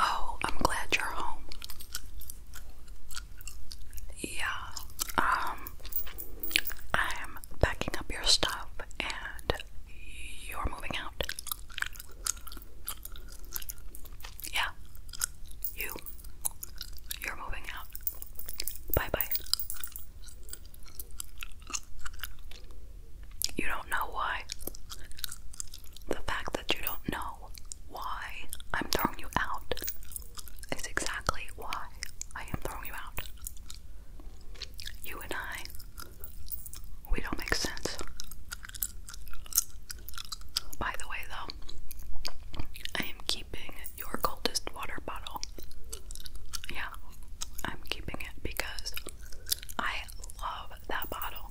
Oh, I'm glad you're home. Yeah, um, I'm packing up your stuff and you're moving out. Yeah. You. You're moving out. Bye bye. You don't know why. The fact that you don't know why I'm throwing you out is exactly why I am throwing you out. You and I, we don't make sense. By the way, though, I am keeping your coldest water bottle. Yeah, I'm keeping it because I love that bottle.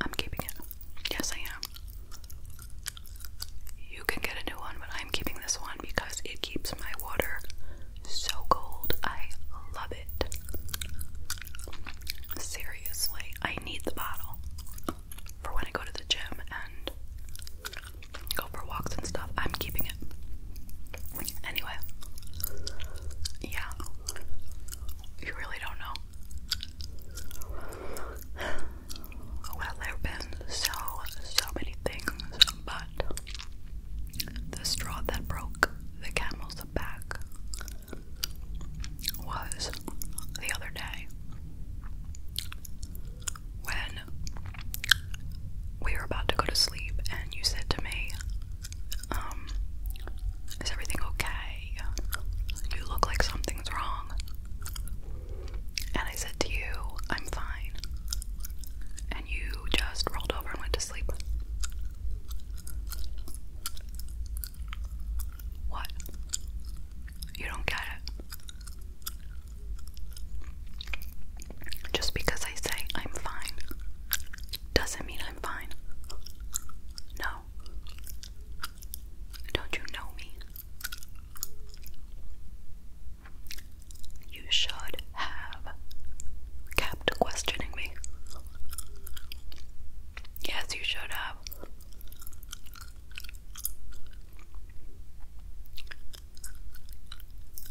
I'm keeping it. Yes, I am. You can get a new one, but I'm keeping this one because it keeps my water so cold. I love it. Seriously, I need the bottle for when I go to the gym and go for walks and stuff. I'm keeping it. Anyway, yeah, you really don't know. Well, there have been so, so many things, but the straw that broke the camel's back was the other day when we were about to go to sleep, and you said to me, um, Is everything okay? You look like something's wrong. And I said to you, I'm fine you just rolled over and went to sleep? What? You don't get it. Just because I say I'm fine doesn't mean I'm fine. No. Don't you know me? You should have kept questioning me. Yes, you should have.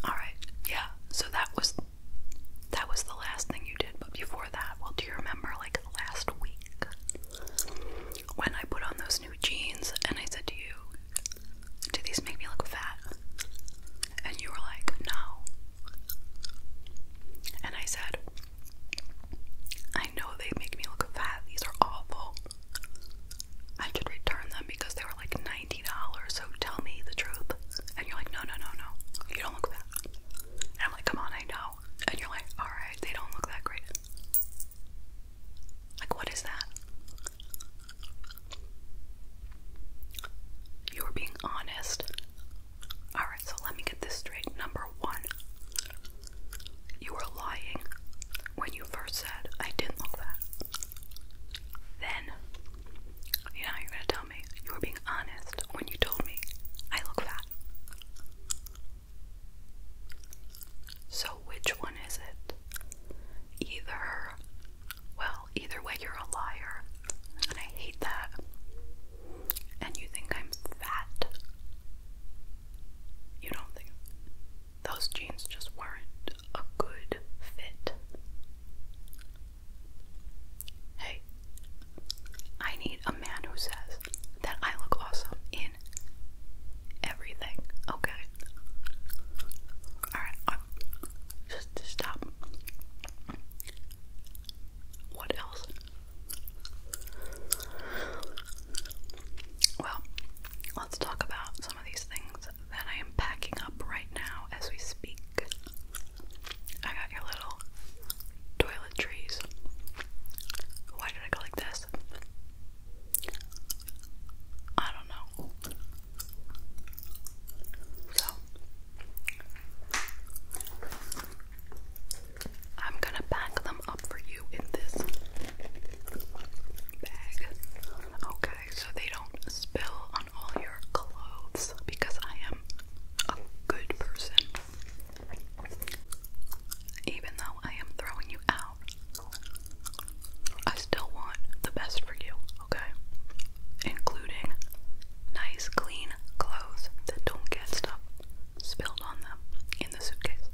Alright, yeah, so that was that was the last thing you did, but before that, well do you remember like last week when I put on those new jeans and I said to you do these make me look fat? And you were like, no. And I said, I know they make me look fat. These are awful. I should return them because they were like $90, so tell me the truth. And you're like, no, no, no, no. You don't look fat. And I'm like, come on, I know. And you're like, alright, they don't look that great. Like, what is that? You were being honest. Alright, so let me get this straight. Number one, you were lying when you first said, I didn't look that. Then, you know, you're gonna tell me you were being honest when you told me I look fat. So, which one is it? Either well, either way, you're a liar, and I hate that. And you think I'm fat. You don't think those jeans just weren't a good fit. Hey, I need a man who says that I look awesome in everything, okay? Alright, just to stop. What else? Well, let's talk about some of these things that I am packing up right now as we speak. I got your little toiletries. Why did I go like this? I don't know. So I'm gonna pack them up for you in this bag. Okay, so they don't spill on all your clothes because I am a good person. Even though I am throwing you out, I still want the best for you, okay? Including nice, clean clothes that don't get stuff spilled on them in the suitcase.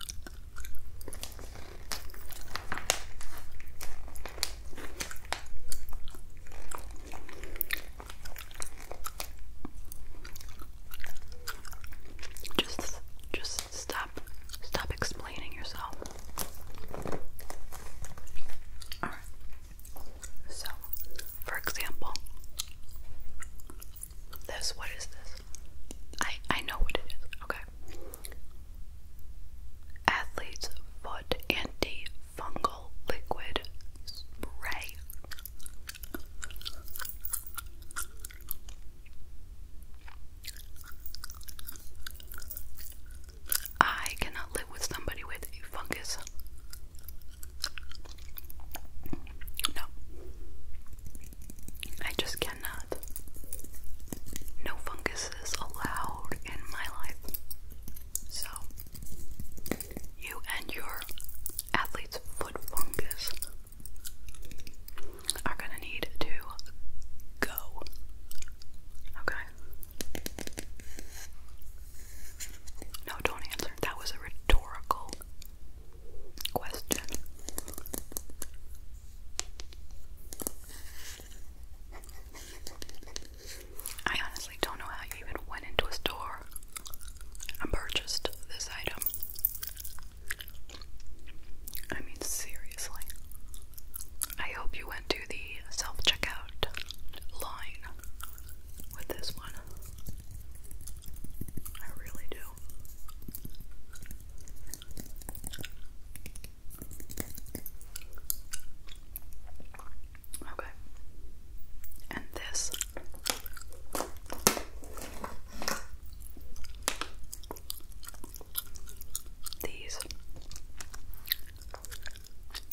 Just, just stop, stop explaining yourself. So, for example, this, what is this? I I know what it is. Okay. Athlete's foot antifungal liquid spray. I cannot live with somebody with a fungus. No. I just cannot. No fungus is allowed in my life. So, you and your athlete's foot fungus are gonna need to go. Okay? No, don't answer. That was a rhetorical question. I honestly don't know how you even went into a store and purchased this item. I mean, seriously. I hope you went the self checkout line with this one. I really do. Okay. And this these.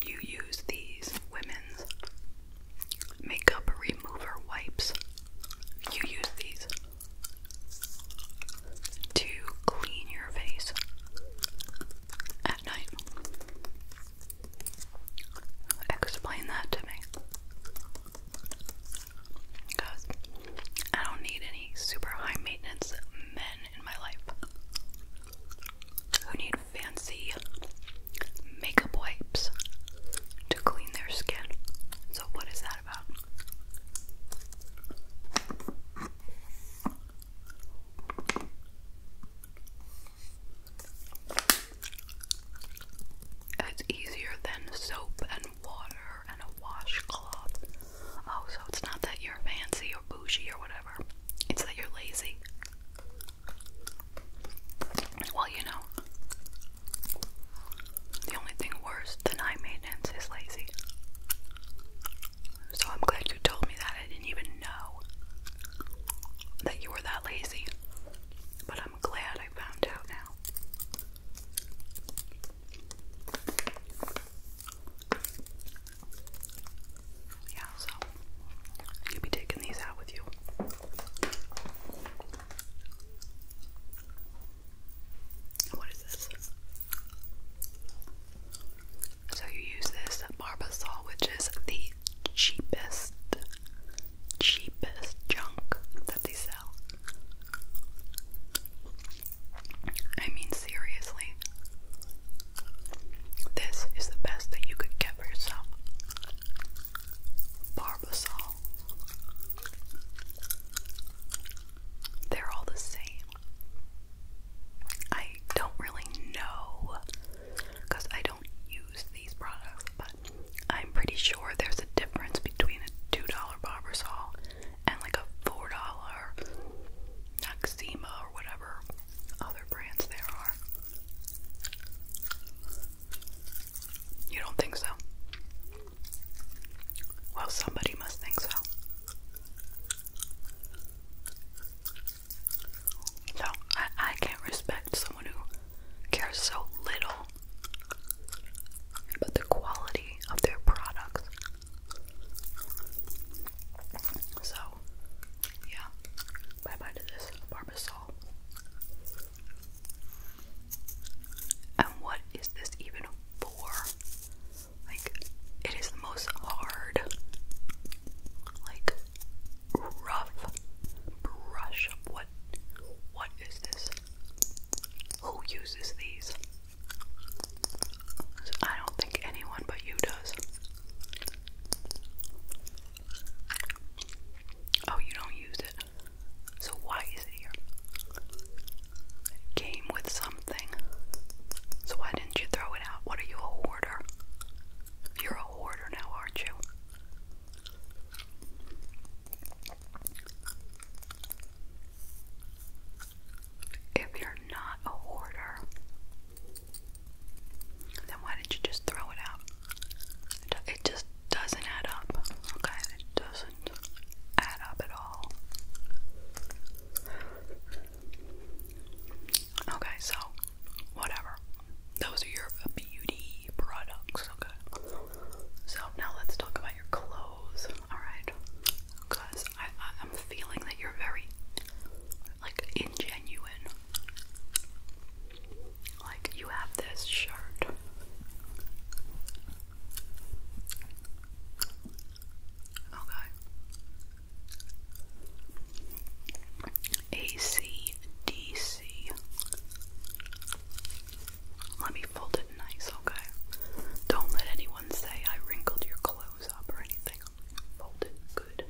You use these women's makeup remover wipes. You use these to clean your face at night. Explain that to me. Because I don't need any super high maintenance men in my life who need fancy makeup wipes to clean their skin. So, what is that about? It's easier than soap and water water and a washcloth. Oh, so it's not that you're fancy or bougie or whatever, it's that you're lazy. Well, you know, the only thing worse than eye maintenance is lazy. So I'm glad you told me that. I didn't even know that you were that lazy. But I'm glad I found out now. Yeah, so you'll be taking these out with you. What is this? So you use this Barbasol, which is the cheapest, cheapest junk that they sell. I mean, seriously, this is the best that you could get for yourself. Barbasol. They're all the same. I don't really know because I don't use these products, but I'm pretty sure there's a difference between a $2 Barbasol and like a $4 Noxema or whatever other brands there are. You don't think so? Well, somebody must think so. So, I, I can't respect someone who cares so little about the quality of their products. So, yeah. Bye bye to this barbasol. And what is this even for? Like, it is the most hard, like, rough brush what? What is this? Who uses these? So I don't think anyone but you does. Oh, you don't use it. So why is it here? came with something. So why didn't you throw it out? What are you, a hoarder? You're a hoarder now, aren't you? if you're not a hoarder, then why did you just throw it out? It just doesn't add up, okay? It doesn't add up at all. Okay, so whatever. Those are your beauty products, okay? So now let's talk about your clothes, alright? Because I, I'm feeling that you're very, like, ingenuine. Like, you have this shirt. Okay. ACDC. Let me fold it nice, okay? Don't let anyone say I wrinkled your clothes up or anything. Fold good.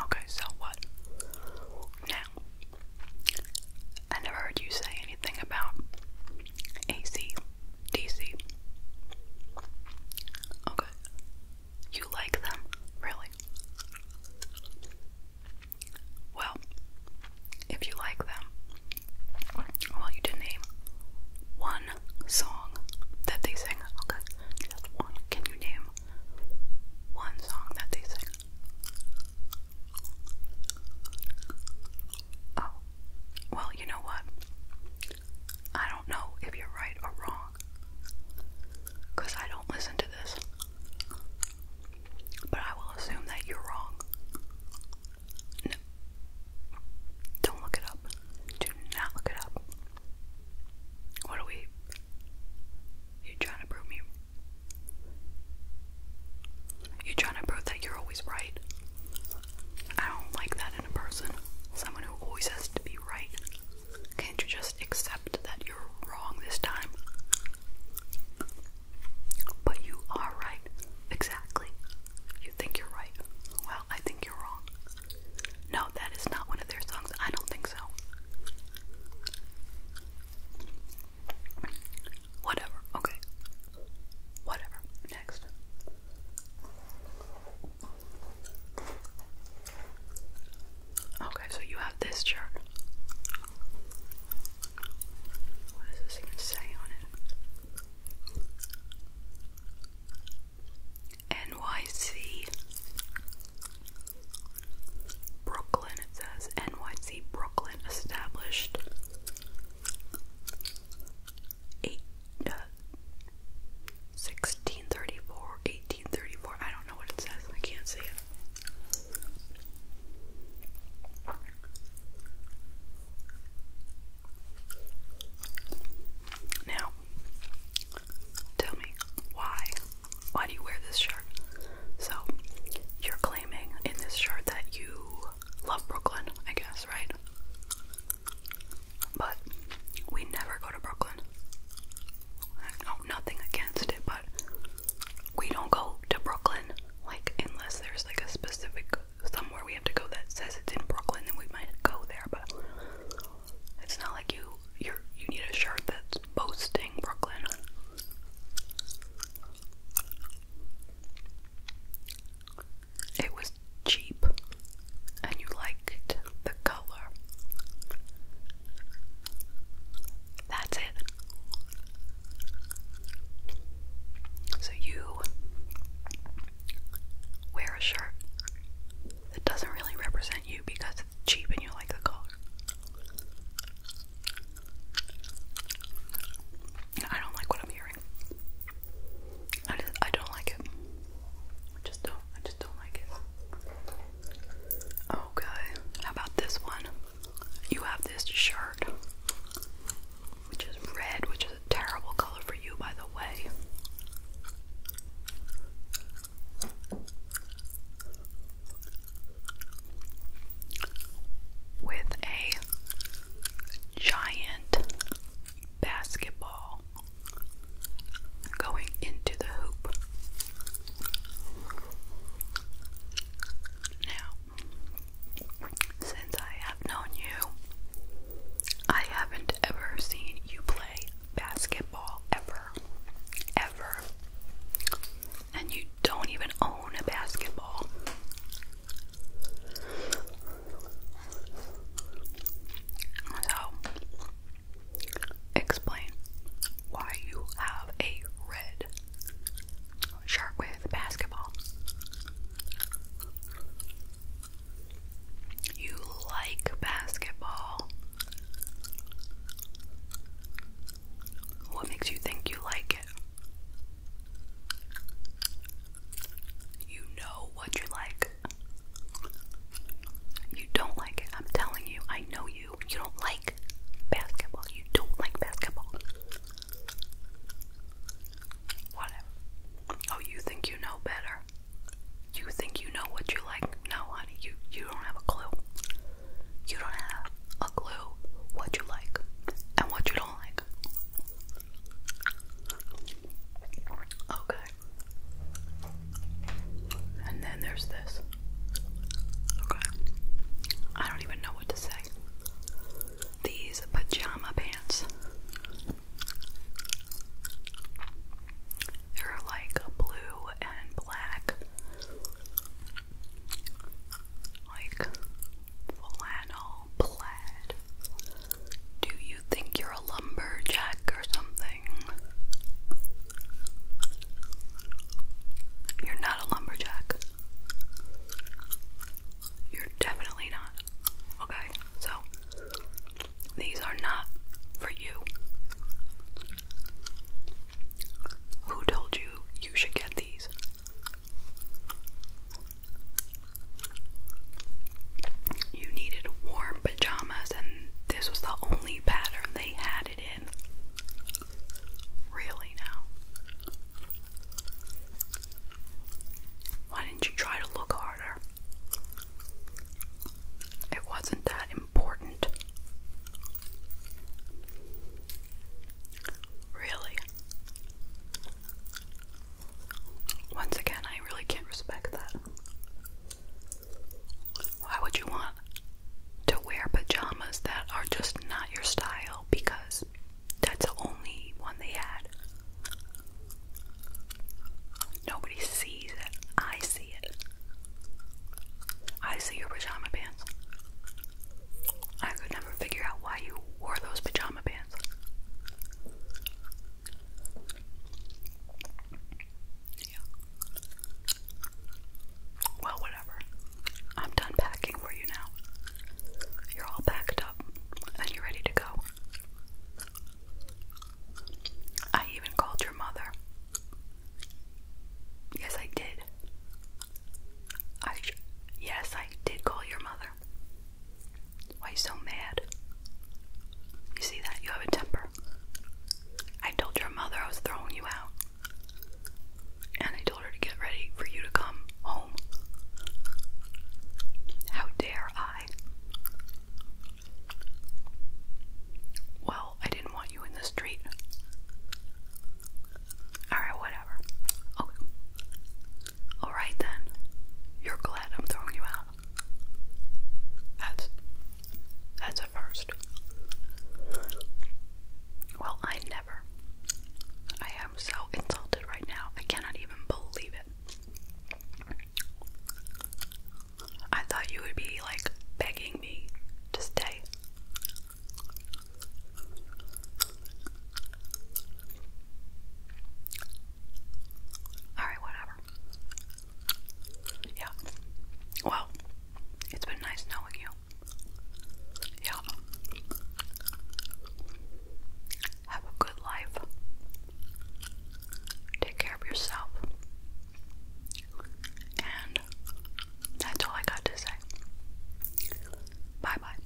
Okay, so what? Now, I never heard you say anything about AC, DC. Okay, you like them? Really? Well, if you like them, well, you did name one song that they sing. just one. Can you name one song that they sing? Oh, well, you know what? I don't know if you're right or wrong because I don't listen to this, but I will assume that you're wrong. No, don't look it up. Do not look it up. What are we? you trying to prove me. you trying to prove that you're always right. I don't like that in a person. Someone who always has to be right. Can't you just accept that you're wrong this time? But you are right. Exactly. You think you're right. Well, I think you're wrong. No, that is not one of their songs. I don't think so. Whatever. Okay. Whatever. Next. Okay, so you have this chart. What does this say on it? NYC Brooklyn, it says. NYC Brooklyn established 18 1634, 1834. I don't know what it says. I can't see it. Now, tell me why? Why do you wear this shirt? So, you're claiming in this shirt that you love Brooklyn, I guess, right? But we never go to Brooklyn. No, nothing against it, but we don't go to Brooklyn like unless there's like a specific somewhere we have to go that says it's in Brooklyn, then we might go there. But it's not like you you you need a shirt that's boasting Brooklyn it was cheap and you liked the color. That's it. So you wear a shirt that doesn't really represent you because it's cheap and you like the color. I don't like what I'm hearing. I just, I don't like it. I just don't. I just don't like it. Okay. Oh, How about this one? You have this shirt, which is red, which is a terrible color for you, by the way. With a giant basketball going into the hoop. Now, since I have known you, I haven't ever seen you play basketball ever. Ever. And you don't even own a basketball. So, explain why you have a red shirt with basketball. You like basketball. What makes you think you like it? You know what you like like you don't like it. I'm telling you, I know you. You don't like basketball. You don't like basketball. Whatever. Oh, you think you know better. You think you know what you like. No, honey, you you don't have a clue. You don't have a clue what you like and what you don't like. Okay. And then there's this. Okay. I don't even know what to say. These pajama pants. They're like blue and black. Like flannel plaid. Do you think you're a lumberjack or something? You're not a lumberjack. You're definitely not. Okay, so these are not for you. Who told you you should get these? You needed warm pajamas, and this was the only pattern they had it in. Really, now? Why didn't you try to look harder? It wasn't that important. Really? Once again, I really can't respect that. Why would you want to wear pajamas that are just not your style because that's the only one they had? Nobody sees it. I see it. I see your pajama pants. I could never figure out why you wore those pajama pants. Well, whatever. I'm done packing for you now. You're all packed up and you're ready to go. I even called your mother. Yes, I did. I yes, I did call your mother. Why you so mad? You see that? You have a temper. I told your mother I was throwing you out. And I told her to get ready for you to come home. How dare I? Well, I didn't want you in the street. Alright, whatever. Okay. Alright then. You're glad I'm throwing you out. That's that's a first. Well, I never. I am so insulted right now. I cannot even believe it. I thought you would be like begging me to stay. Alright, whatever. Yeah. Well, it's been nice knowing you. Yeah. Have a good life. Take care of yourself. And that's all I got to say. Bye bye.